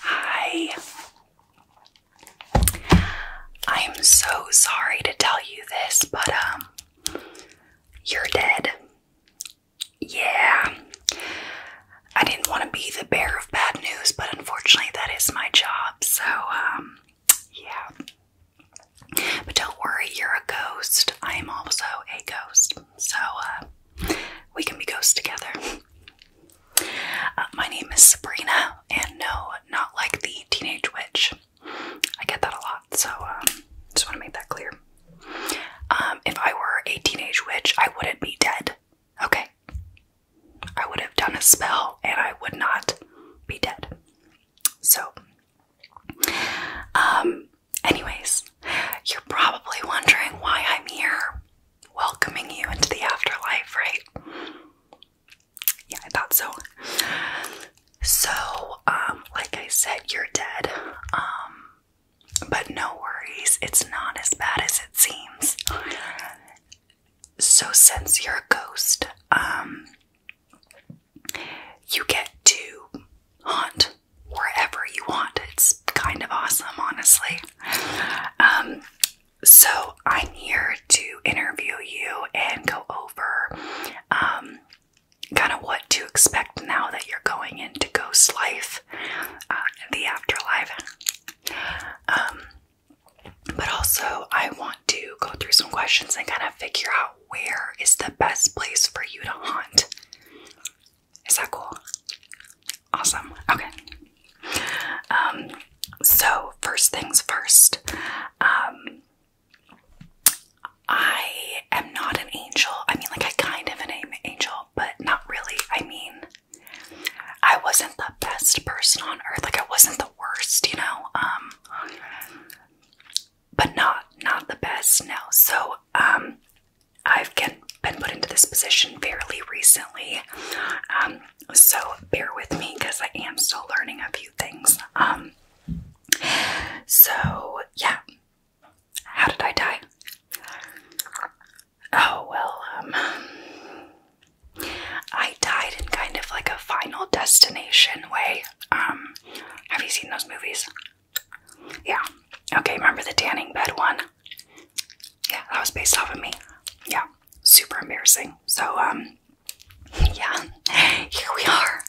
Hi. I am so sorry to tell you this, but um you're dead. Yeah. I didn't want to be the bearer of bad news, but unfortunately, that is my job. So, um, yeah. But don't worry, you're a ghost. I am also a ghost. So, uh, we can be ghosts together. Uh, my name is Sabrina, and no, not like the Teenage Witch. I get that a lot, so um, just want to make that clear. Um, if I were a teenage witch, I wouldn't be dead. Okay. I would have done a spell and I would not be dead. So, um, anyways, you're probably wondering why I'm here welcoming you into the afterlife, right? Yeah, I thought so. So, um, like I said, you're dead. Um, but no worries, it's not as bad as it seems. So since you're a ghost, um, you get to haunt wherever you want. It's kind of awesome, honestly. Um, so I'm here to interview you and go over um, kind of what to expect now that you're going into ghost life, uh, the afterlife. Um, but also, I want to go through some questions and kind of figure out where is the best place for you to haunt. Is that cool? Awesome. Okay. Um, so, first things first, um, I am not an angel. I mean, like, I kind of an angel but not really. I mean, I wasn't the best person on earth. Like I wasn't the worst, you know. Um, but not not the best. No. So um, I've been put into this position fairly recently. Um, so bear with me because I am still learning a few things. Um, so yeah. How did I die? Oh, well, um, I died in kind of like a final destination way. Um, have you seen those movies? Yeah. Okay, remember the tanning bed one? Yeah, that was based off of me. Yeah, super embarrassing. So, um, yeah, here we are.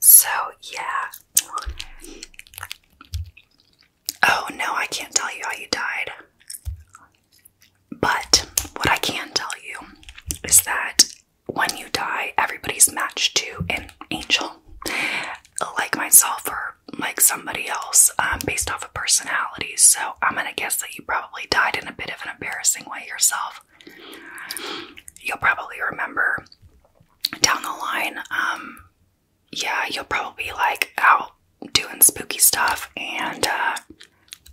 So, yeah. Oh no, I can't tell you how you died. But what I can tell you is that when you die, everybody's matched to an angel, like myself or like somebody else, um, based off of personality. So I'm gonna guess that you probably died in a bit of an embarrassing way yourself. You'll probably remember down the line um, yeah, you'll probably be like out doing spooky stuff, and uh,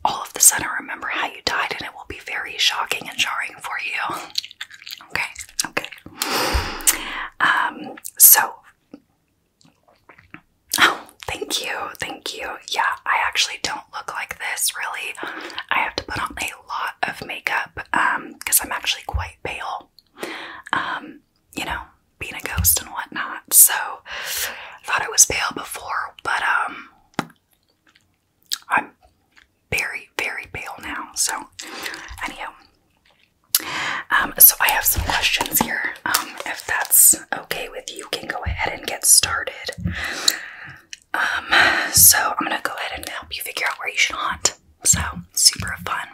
all of a sudden remember how you died, and it will be very shocking and jarring for you. okay, okay. Um, so, oh, thank you, thank you. Yeah, I actually don't look like this really. I have to put on a lot of makeup because um, I'm actually quite pale. Um, you know, being a ghost and whatnot. So I thought it was pale before, but um I'm very, very pale now. So anyhow. Um, so I have some questions here. Um, if that's okay with you, can go ahead and get started. Um, so I'm gonna go ahead and help you figure out where you should hunt. So super fun.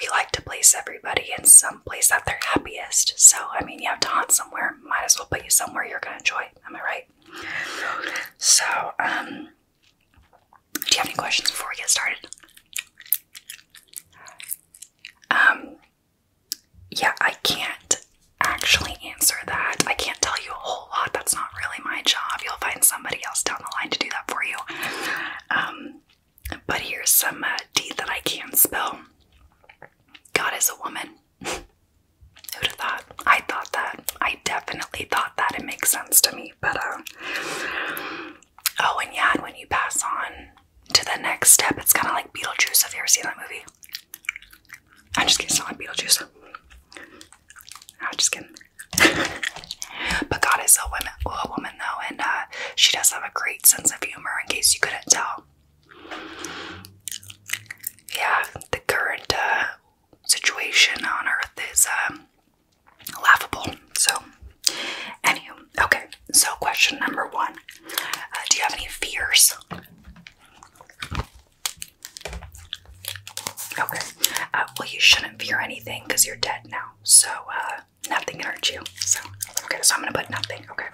We like to place everybody in some place that they're happiest. So, I mean, you have to haunt somewhere. Might as well put you somewhere you're going to enjoy. Am I right? So, um, do you have any questions before we get started? Um, yeah, I can't actually answer that. I can't tell you a whole lot. That's not really my job. You'll find somebody else down the line to do that for you. Um, but here's some uh, D that I can't spell. God is a woman. Who'd have thought? I thought that. I definitely thought that. It makes sense to me. But, uh, oh, and yeah, when you pass on to the next step, it's kind of like Beetlejuice. Have you ever seen that movie? I'm just kidding. It's not like Beetlejuice. I'm just kidding. but God is a woman. A woman woman and uh, she does have a great sense of humor. In case you couldn't tell, yeah, the current uh, situation on Earth is um, laughable. So, anywho, okay. So, question number one: uh, Do you have any fears? Okay. well, you shouldn't fear anything because you're dead now. So, nothing can hurt you. So, okay, so I'm gonna put nothing, okay.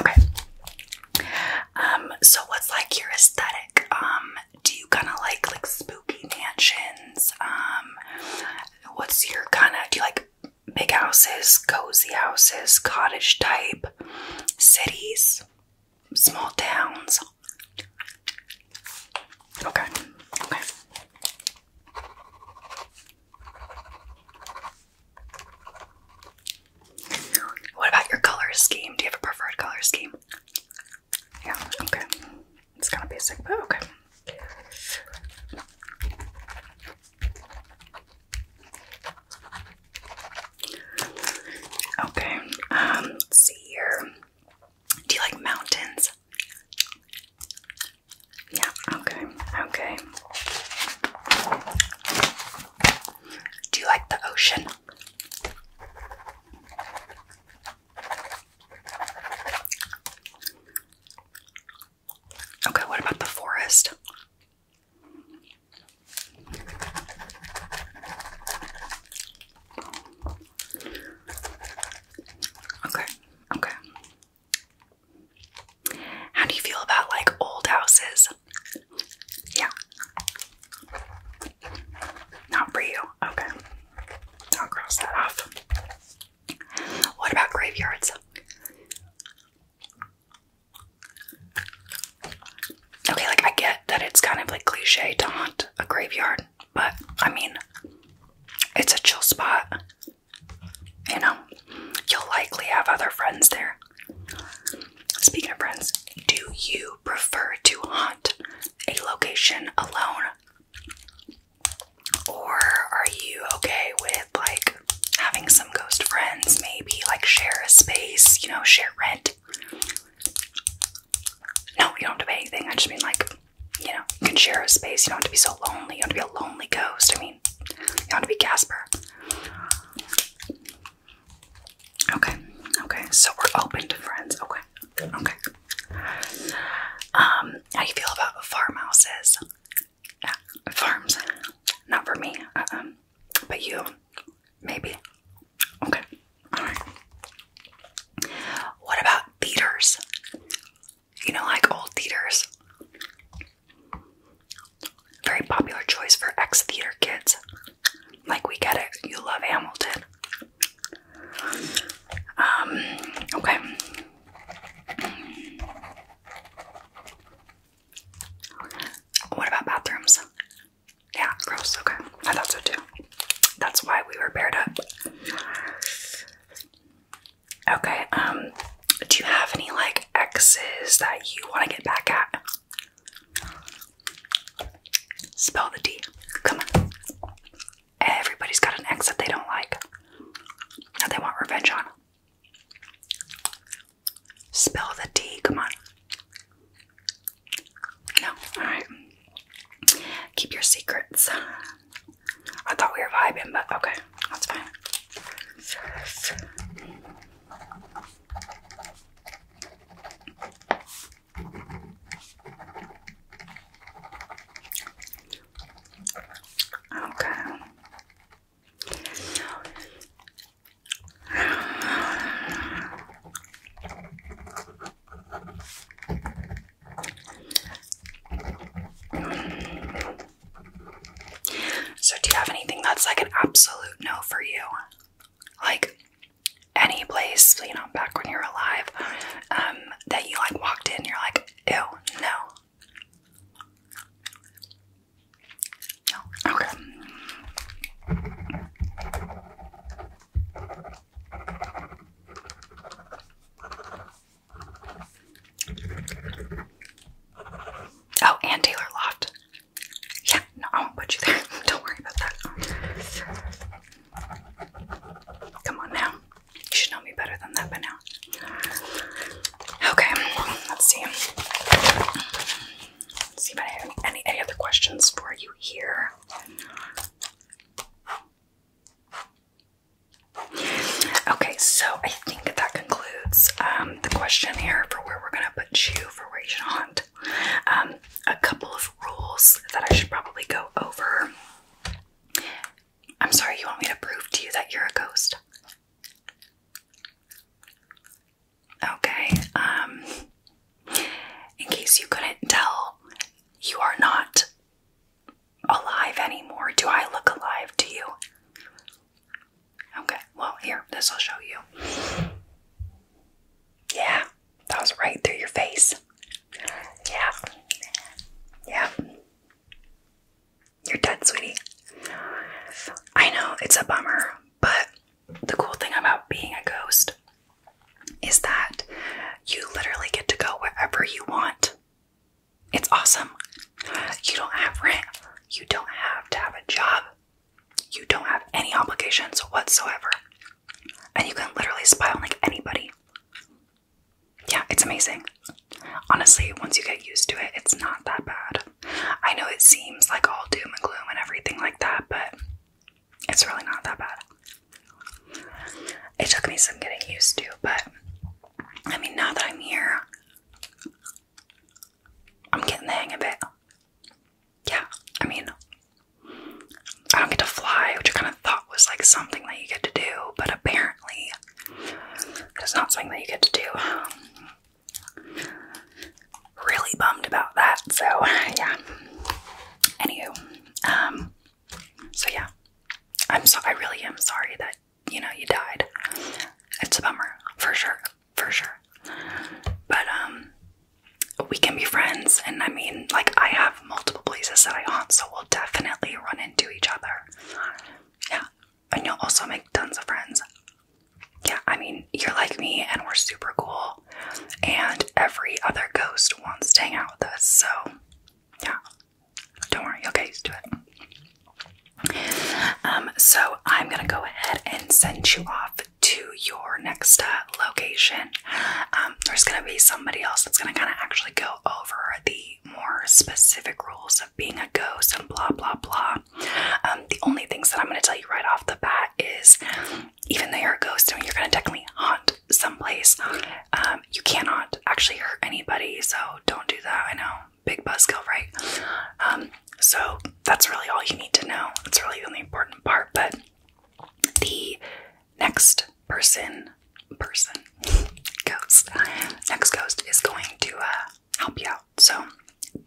Okay. Um, so what's like your aesthetic? Um, do you kinda like like spooky mansions? Um, what's your kinda do you like big houses, cozy houses, cottage type, cities? small towns. Okay, okay. What about your color scheme? Do you have a preferred color scheme? Yeah, okay. It's kind of basic, but okay. Okay, um, see here. Do you like mountains? Yeah, okay, okay. Do you like the ocean? Okay, what about the forest? Okay, okay. How do you feel about like old houses? Yeah. Not for you. Okay. I'll cross that off. What about graveyards? Okay, like I get that it's kind of like cliche to haunt a graveyard, but I mean, it's a chill spot. You know, you'll likely have other friends there. Speaking of friends, do you prefer to haunt a location alone? Or are you okay with like having some ghost friends, maybe like share a space, you know, share rent no, you don't have to pay anything. I just mean, like, you know, you can share a space. You don't have to be so lonely. You don't have to be a lonely ghost. I mean, you don't have to be Casper. Okay, okay. So we're open to friends. Okay, okay. Um, how you feel about farmhouses? farms. Not for me. um, but you, maybe. Okay. What about theaters? You know, like old theaters. Very popular choice for ex theater kids. Like, we get it. You love Hamilton. Um, okay. What about bathrooms? Yeah, gross. Okay, I thought so too. That's why we were paired up. Okay, um, do you have any like exes that you want to get back at? Spell the D. Come on. Everybody's got an ex that they don't like. and they want revenge on. Spell the D. Come on. No, alright. Keep your secrets. I thought we were vibing, but okay, that's fine. Okay. So, do you have anything that's like an absolute no for you? Like any place, you know, back when you were alive, um, that you like walked in, you're like, ew, no. No. Okay. Oh, and Taylor Loft. Yeah, no, I won't put you there. Don't worry about that. Come on now. You should know me better than that by now. Okay, let's see. see if I have any, any other questions for you here. Okay, so I think that concludes um, the question here for where we're gonna put you for where you should hunt. Um, a couple of rules that I should probably go over. I'm sorry, you want me to prove to you that you're a ghost? Okay, um, in case you couldn't tell, you are not alive anymore. Do I look alive to you? Okay, well, here, this will show you. Yeah, that was right through your face. Yeah, yeah. You're dead, sweetie. I know, it's a bummer, but the cool thing about being a ghost is that you literally get to go wherever you want. It's awesome. You don't have rent. You don't have to have a job. You don't have any obligations whatsoever. And you can literally spy on like anybody. Yeah, it's amazing. Honestly, once you get used to it, it's not that bad. I know it seems like all doom and gloom and everything like that, but it's really not that bad. It took me some getting used to, but I mean, now that I'm here, I'm getting the hang of it. Yeah, I mean, I don't get to fly, which I kind of thought was like something that you get to do, but apparently, it's not something that you get to do really bummed about that. So yeah. Anywho, um, so yeah, I'm so I really am sorry that you know you died. It's a bummer for sure, for sure. But um, we can be friends, and I mean, like I have multiple places that I haunt, so we'll definitely run into each other. Yeah, and you'll also make tons of friends. Yeah, I mean, you're like me and we're super cool and every other ghost wants to hang out with us so yeah don't worry you'll get used to it um, so i'm gonna go ahead and send you off to your next uh, location um, there's gonna be somebody else that's gonna kind of actually go over the more specific rules of being a ghost and blah blah blah um, the only things that i'm gonna tell you right off the bat is even though you're a ghost and you're going to definitely haunt some place, um, you cannot actually hurt anybody. So don't do that. I know, big buzzkill, right? Um, so that's really all you need to know. It's really the only important part. But the next person, person, ghost, next ghost is going to uh, help you out. So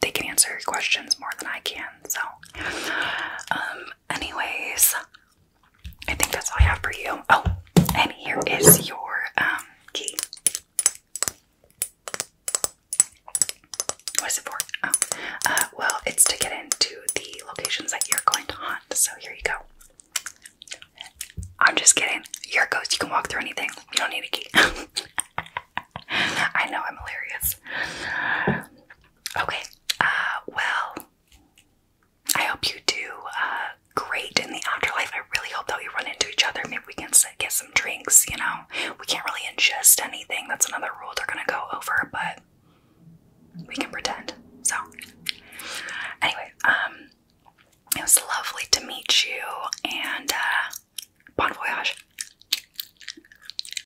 they can answer your questions more than I can. So, um, anyways, I think that's all I have for you. Oh, and here is your um, key. What is it for? Oh, uh, well, it's to get into the locations that you're going to hunt. So here you go. I'm just kidding. You're a ghost. You can walk through anything. You don't need a key. I know I'm hilarious. Okay, uh, well, I hope you do uh, great in the afterlife. I really hope that we run into each other. Maybe we can get some drinks, you know? We can't really ingest anything. That's another rule they're gonna go over, but we can pretend. So, anyway, um, it was lovely to meet you and uh, bon voyage.